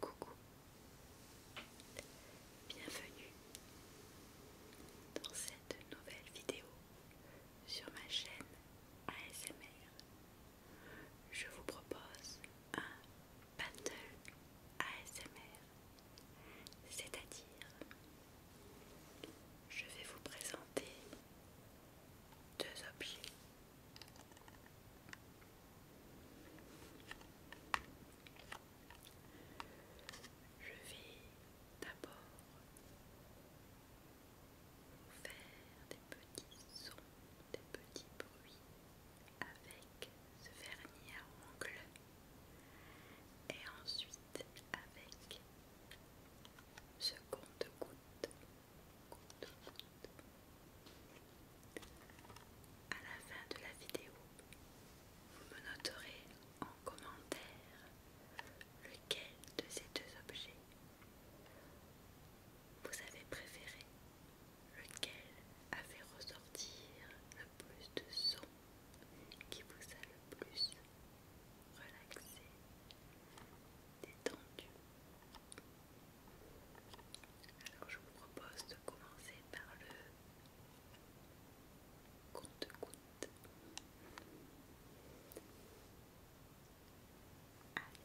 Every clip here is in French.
Coucou, bienvenue dans cette nouvelle vidéo sur ma chaîne ASMR. Je vous propose un Battle ASMR, c'est-à-dire je vais vous présenter deux objets. Je vais d'abord vous faire des petits sons, des petits bruits avec ce vernis à ongles et ensuite avec ce compte-goutte. à la fin de la vidéo, vous me noterez en commentaire lequel de ces deux objets vous avez préféré lequel a fait ressortir le plus de son, qui vous a le plus relaxé, détendu. Alors je vous propose de commencer par le compte-goutte. Allez,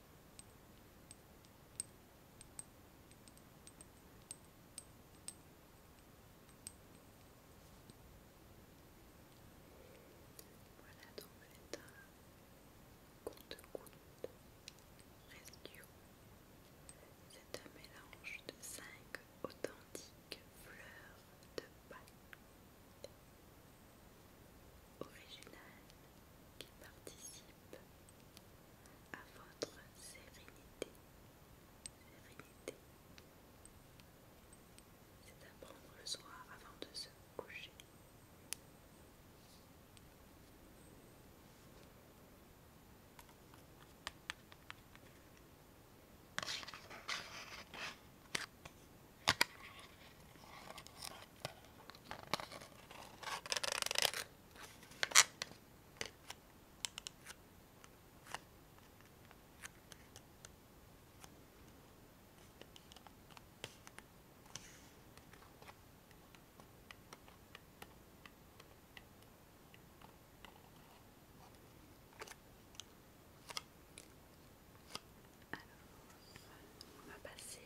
Voilà donc c'est un compte-goutte rescue. C'est un mélange de cinq authentiques fleurs de Pâques original qui participent à votre sérénité. Sérénité. C'est à prendre le soir avant de se coucher. Alors, on va passer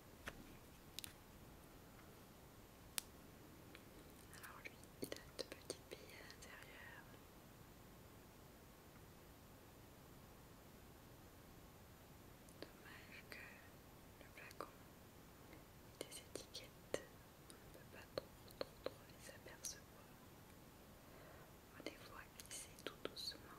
Alors lui, il a deux petite bille à l'intérieur. Dommage que le flacon et des étiquettes, on ne peut pas trop trop les apercevoir. On les voit glisser tout doucement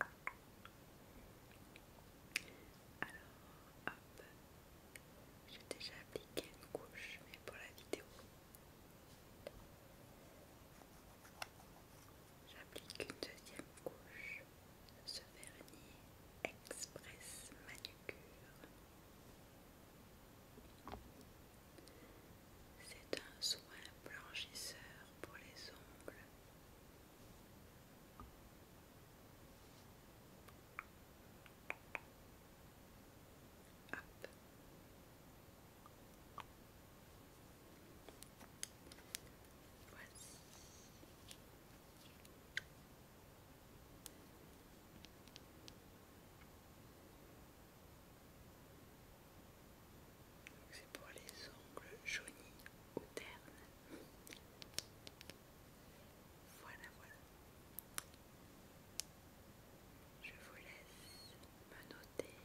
Alors, hop, j'ai déjà appliqué une couche, mais pour la vidéo, j'applique une deuxième couche, ce vernis express manucure. C'est un soin blanchisseur pour les ongles. C'est pour les ongles jaunis ou Voilà, voilà. Je vous laisse me noter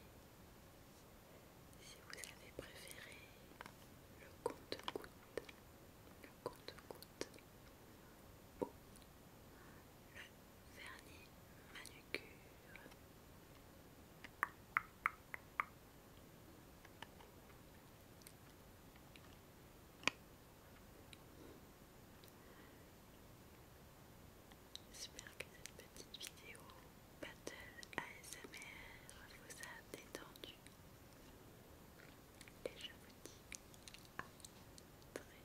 si vous avez préféré le compte-goutte, le compte-goutte vernis manucure. J'espère que cette petite vidéo Battle ASMR vous a détendu et je vous dis à très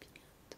très bientôt.